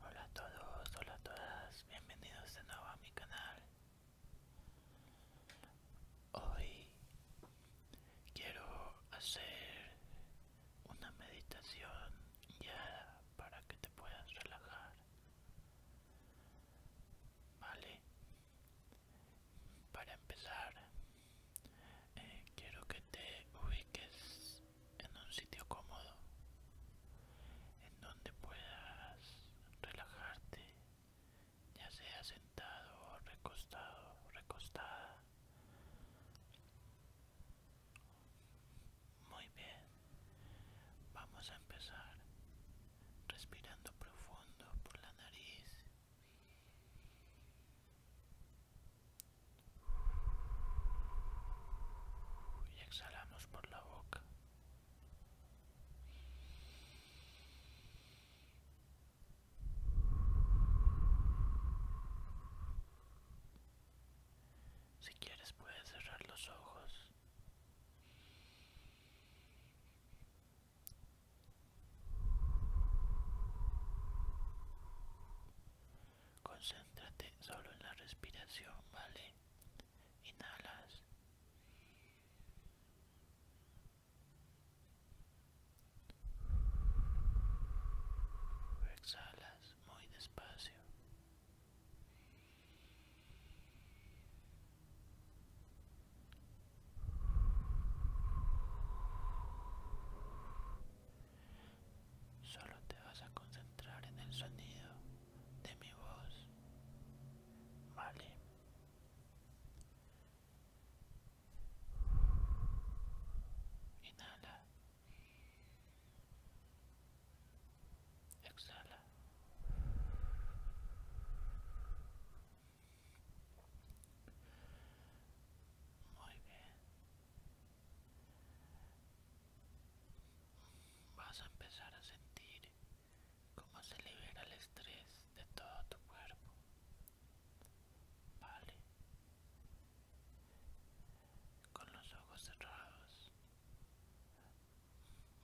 Hola a todos, hola a todas, bienvenidos de nuevo a mi canal. Hoy quiero hacer una meditación ya para que te puedas relajar. Vale, para empezar eh, quiero que te ubiques en un sitio cómodo, en donde puedas relajarte, ya sea sentado, o recostado, recostada. Muy bien, vamos a empezar respirando profundo por la nariz y exhalamos por la boca. Si quieres puedes cerrar los ojos. Concéntrate solo en la respiración, ¿vale? Inhalas. Exhalas muy despacio. Solo te vas a concentrar en el sonido de mi voz. Vale. Inhala. Exhala. Muy bien. Vas a empezar a sentir cómo se libera el estrés de todo tu cuerpo. Vale. Con los ojos cerrados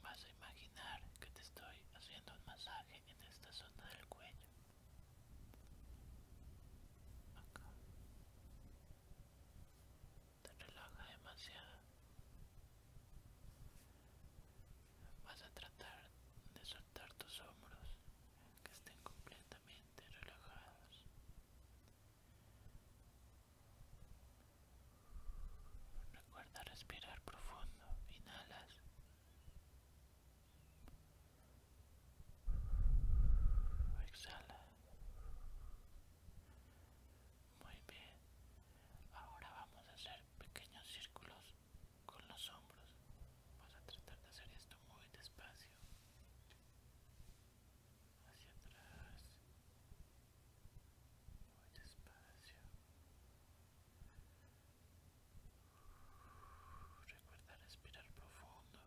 vas a imaginar que te estoy haciendo un masaje en esta zona del cuello. Acá te relaja demasiado vas a tratar de soltar tus hombros que estén completamente relajados recuerda respirar profundo inhalas Exhala. Muy bien. Ahora vamos a hacer pequeños círculos con los hombros. vamos a tratar de hacer esto muy despacio. Hacia atrás. Muy despacio. Recuerda respirar profundo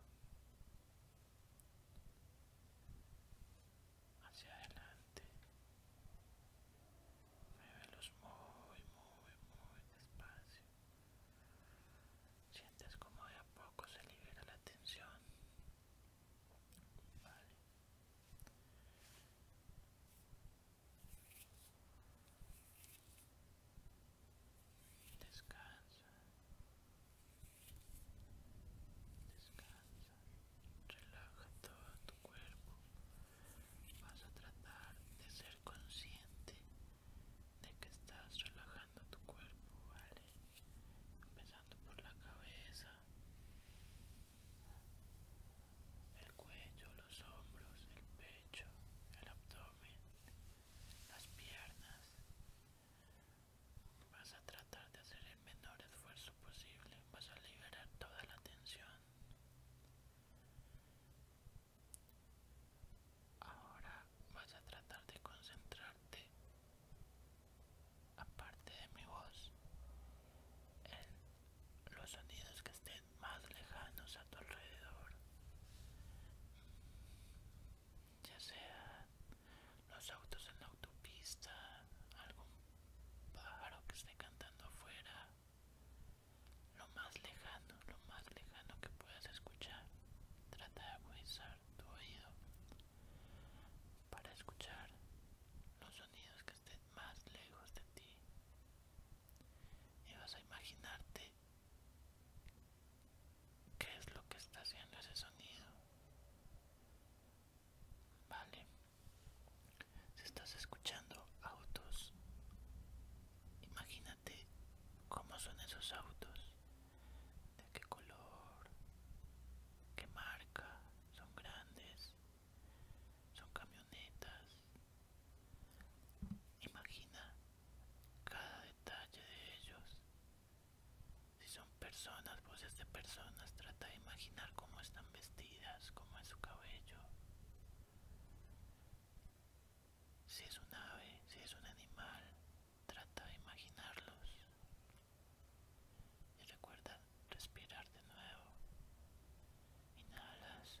hacia adelante Muevelos muy muy muy despacio sientes como de a poco se libera la tensión vale descansa descansa, relaja todo tu cuerpo. Vas a tratar de ser consciente de que estás relajando tu cuerpo, ¿vale? Empezando por la cabeza, el cuello, los hombros, el pecho, el abdomen, las piernas. Vas a tratar de hacer el menor esfuerzo posible, vas a liberar toda la tensión. Ahora vas a tratar de concentrarte, aparte de mi voz, en los sonidos que estén más lejanos a tu alrededor ya sea los autos en la autopista, algún pájaro que esté cantando afuera, lo más lejano, lo más lejano que puedas escuchar, trata de agudizar tu oído para escuchar los sonidos que estén más lejos de ti y vas a imaginarte ¿Qué es lo que está haciendo ese sonido? Vale. Si estás escuchando autos, imagínate cómo son esos autos, de qué color, qué marca, son grandes, son camionetas. Imagina cada detalle de ellos si son personas, voces pues de personas, trata de imaginar cómo están vestidas, cómo es su cabello. Si es un ave, si es un animal, trata de imaginarlos. Y recuerda respirar de nuevo. Inhalas.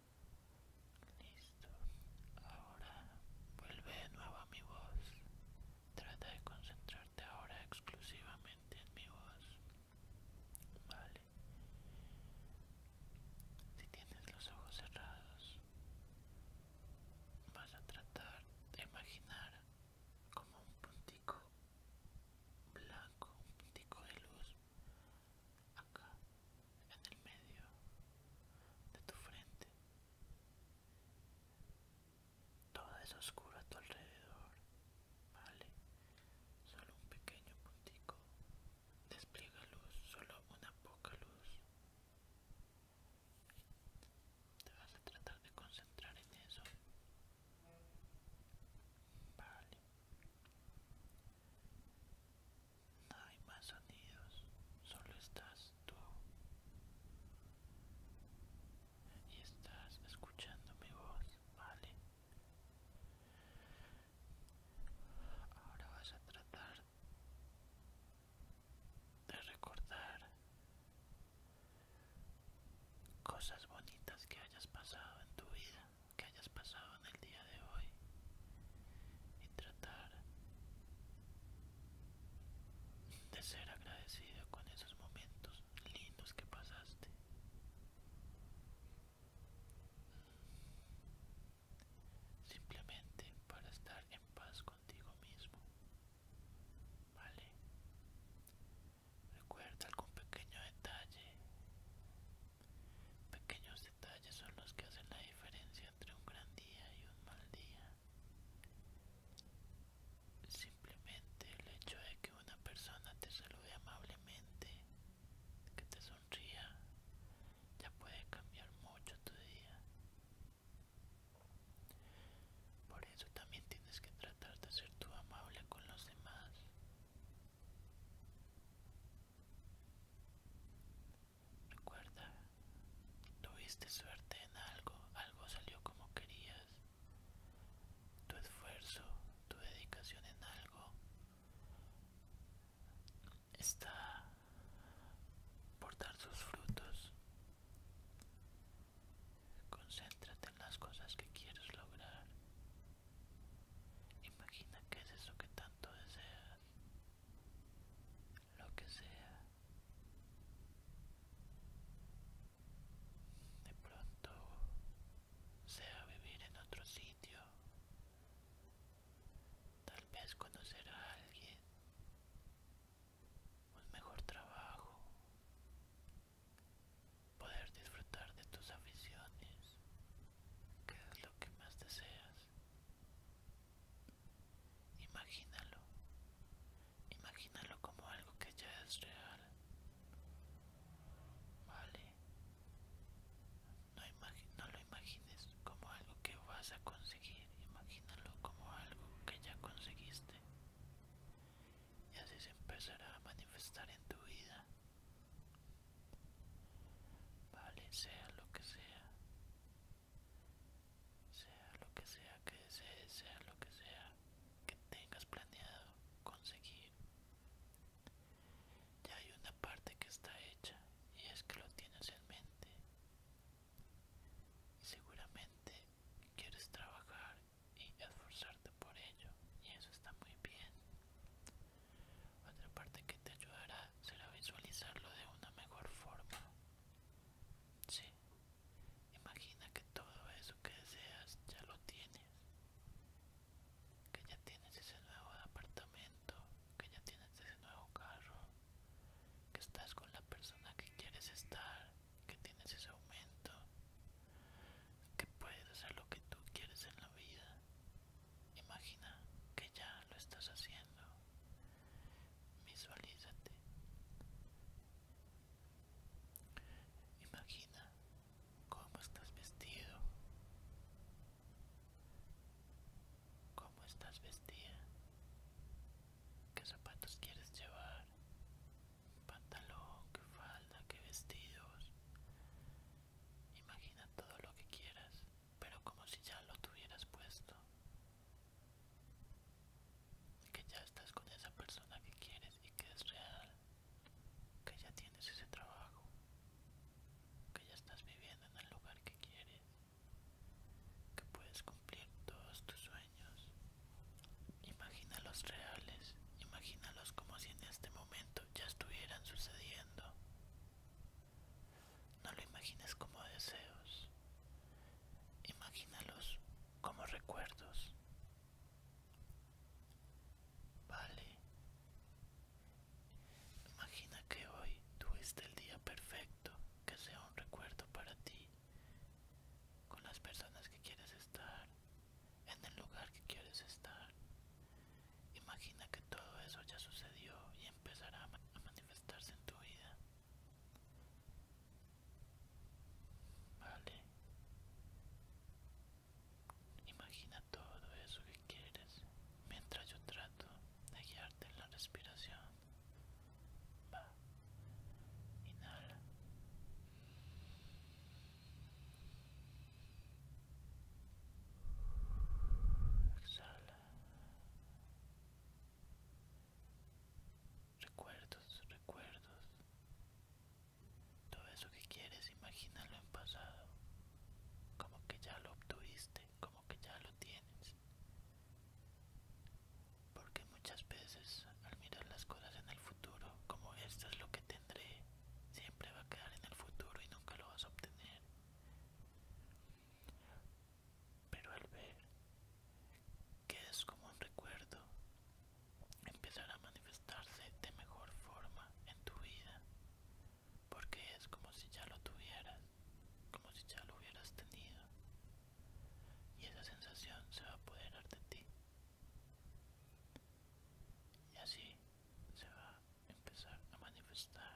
Listo. Ahora vuelve de nuevo a mi voz. Trata de concentrarte ahora exclusivamente en mi voz. Vale. Si tienes los ojos cerrados, vas a tratar de imaginar como un puntico blanco, un puntico de luz acá, en el medio de tu frente. Todo es oscuro a tu alrededor, ¿vale? Solo un pequeño puntico despliega luz, solo una poca luz. Te vas a tratar de concentrar en eso. Vale. No hay más sonidos, solo estás tú. Y estás escuchando mi voz, ¿vale? Ahora vas a tratar de recordar cosas bonitas que hayas pasado en tu vida, que hayas pasado el día de hoy y tratar de ser agradecido con esos momentos lindos que pasaste. Simplemente para estar en paz contigo mismo. ¿Vale? Recuerda algún pequeño detalle. Pequeños detalles son los que hacen la diferencia entre un gran día y un mal día. Simplemente el hecho de que una persona te salude amablemente, que te sonría, ya puede cambiar mucho tu día. Por eso también tienes que tratar de ser tú amable con los demás. Recuerda, tuviste suerte en algo, algo salió como querías. Tu esfuerzo, tu dedicación en algo está por dar sus frutos. Concéntrate en las cosas que quieres lograr. Imagina que es eso que tanto deseas lo que sea. De pronto sea vivir en otro sitio, tal vez conocer a alguien, un mejor trabajo, poder disfrutar de tus aficiones, que es lo que más deseas. Imagínalo. Imagínalo como algo que ya es real. Vale. No, lo imagines como algo que vas a conseguir. Imagínalo como algo que ya conseguiste. Y así se empezará a manifestar en tu vida. Vale, sea lo que sea. Sea lo que sea que desees, sea lo que sea que tengas planeado conseguir. Ya hay una parte que está hecha y es que lo tienes en mente. seguramente quieres trabajar y esforzarte por ello y eso está muy bien. Otra parte que te ayudará será visualizarlo de una mejor forma. Sí, imagina que todo eso que deseas ya lo tienes. Que ya tienes ese nuevo apartamento, que ya tienes ese nuevo carro, que estás con la persona que quieres estar, que tienes ese aumento, que puedes hacer lo que tú quieres en la vida. Imagina que ya lo estás haciendo, Visualízate. Imagina cómo estás vestido. ¿Cómo estás vestida? ¿Qué zapatos quieres llevar? ¿Pantalón? ¿Qué falda? ¿Qué vestidos? Imagina todo lo que quieras pero como si ya lo tuvieras puesto. Que ya estás con esa persona que quieres y que es real. Que ya tienes ese trabajo. Que ya estás viviendo en el lugar que quieres. Que puedes cumplir todos tus sueños. Imagínalos reales. Imagínalos como si en este momento ya estuvieran sucediendo. No lo imagines como deseos, imagínalos como recuerdos. Vale. Imagina que hoy tuviste el día perfecto, que sea un recuerdo para ti, con las personas que quieres estar, en el lugar que quieres estar. Imagina que todo eso ya sucedió y empezará a, a manifestarse en tu vida. Vale. Imagina todo eso que quieres mientras yo trato de guiarte en la respiración. Va. Inhala. Exhala. Recuerdos, recuerdos. Todo eso que quieres, imagínalo en pasado. Como que ya lo obtuviste, como que ya lo tienes. Porque muchas veces al mirar las cosas en el futuro, como esto es lo que tendré, siempre va a quedar en el futuro y nunca lo vas a obtener pero al ver que es como un recuerdo, empezará a manifestarse de mejor forma en tu vida, porque es como si ya lo tuvieras, como si ya lo hubieras tenido, y esa sensación se va a apoderar de ti. Y así se va a empezar a manifestar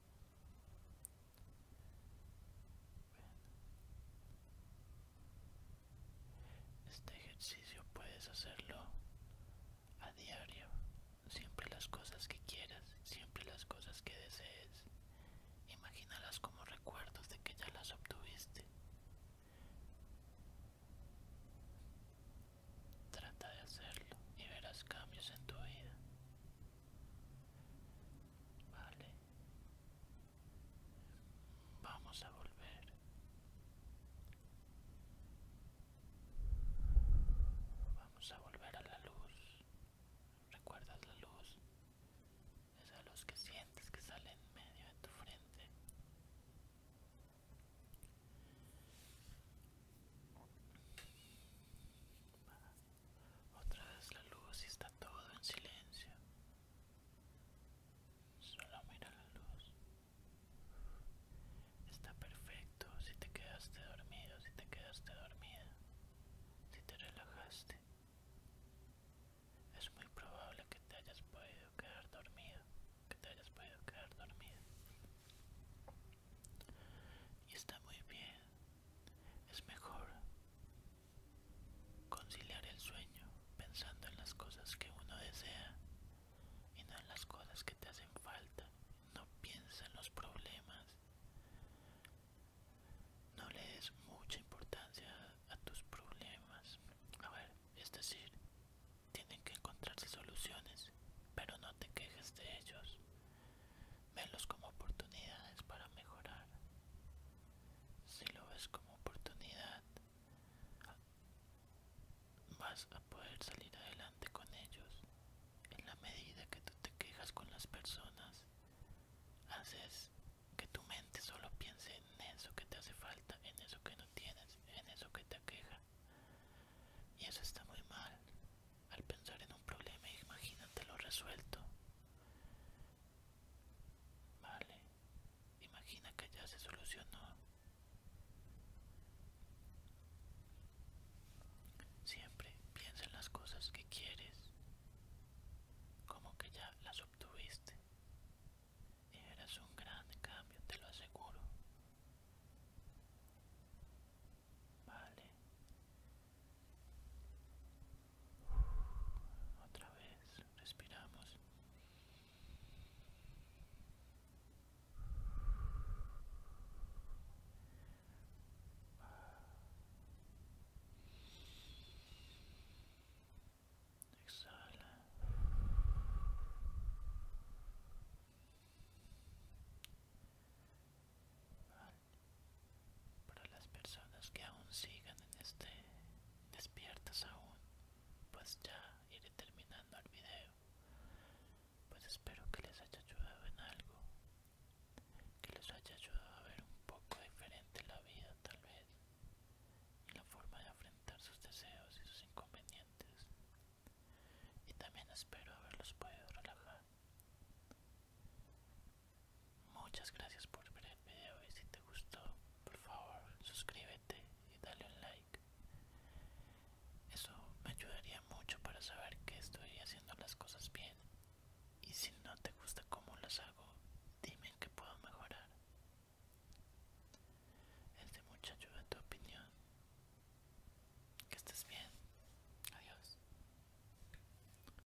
Este ejercicio puedes hacerlo a diario, siempre las cosas que quieras, siempre las cosas que desees. Imagínalas como recuerdos de que ya las obtuviste. Trata de hacerlo y verás cambios en tu vida. Vale. Vamos a volver. Vamos a volver a la luz. ¿Recuerdas la luz? Esa luz que sientes que sale en medio de tu frente otra vez la luz y está todo en silencio. Solo mira la luz. Está perfecto si te quedaste dormido, si te quedaste dormida, si te relajaste. Es muy probable que te hayas podido quedar dormido, que te hayas podido quedar dormida. Y está muy bien. Es mejor Conciliar el sueño pensando en las cosas que uno desea y no en las cosas que te hacen falta. No piensa en los problemas. No le des mucha importancia a tus problemas. A ver, es decir, tienen que encontrarse soluciones, pero no te quejes de ellos. Velos como oportunidades para mejorar. Si lo ves como oportunidad, vas a poder salir adelante con ellos. En la medida que tú te quejas con las personas, haces que tu mente solo piense en eso que te hace falta, en eso que no tienes, en eso que te queja. Y eso está muy mal. Al pensar en un problema, imagínate lo resuelto. Vale, imagina que ya se solucionó. Siempre piensa en las cosas que quieres, como que ya las obtuviste. Y verás un gran cambio, te lo aseguro. Vale, otra vez respiramos. Exhala. Para las personas que aún sigan en este despiertas aún, pues ya iré terminando el video. Pues espero que les haya ayudado en algo, que les haya ayudado a ver un poco diferente la vida tal vez, y la forma de afrontar sus deseos y sus inconvenientes. Y también espero haberlos podido relajar. Muchas gracias por ver el video y si te gustó, por favor suscríbete y dale un like. Eso me ayudaría mucho para saber que estoy haciendo las cosas bien. Y si no te gusta cómo las hago, dime en puedo mejorar. Es de mucha ayuda tu opinión. Que estés bien. Adiós.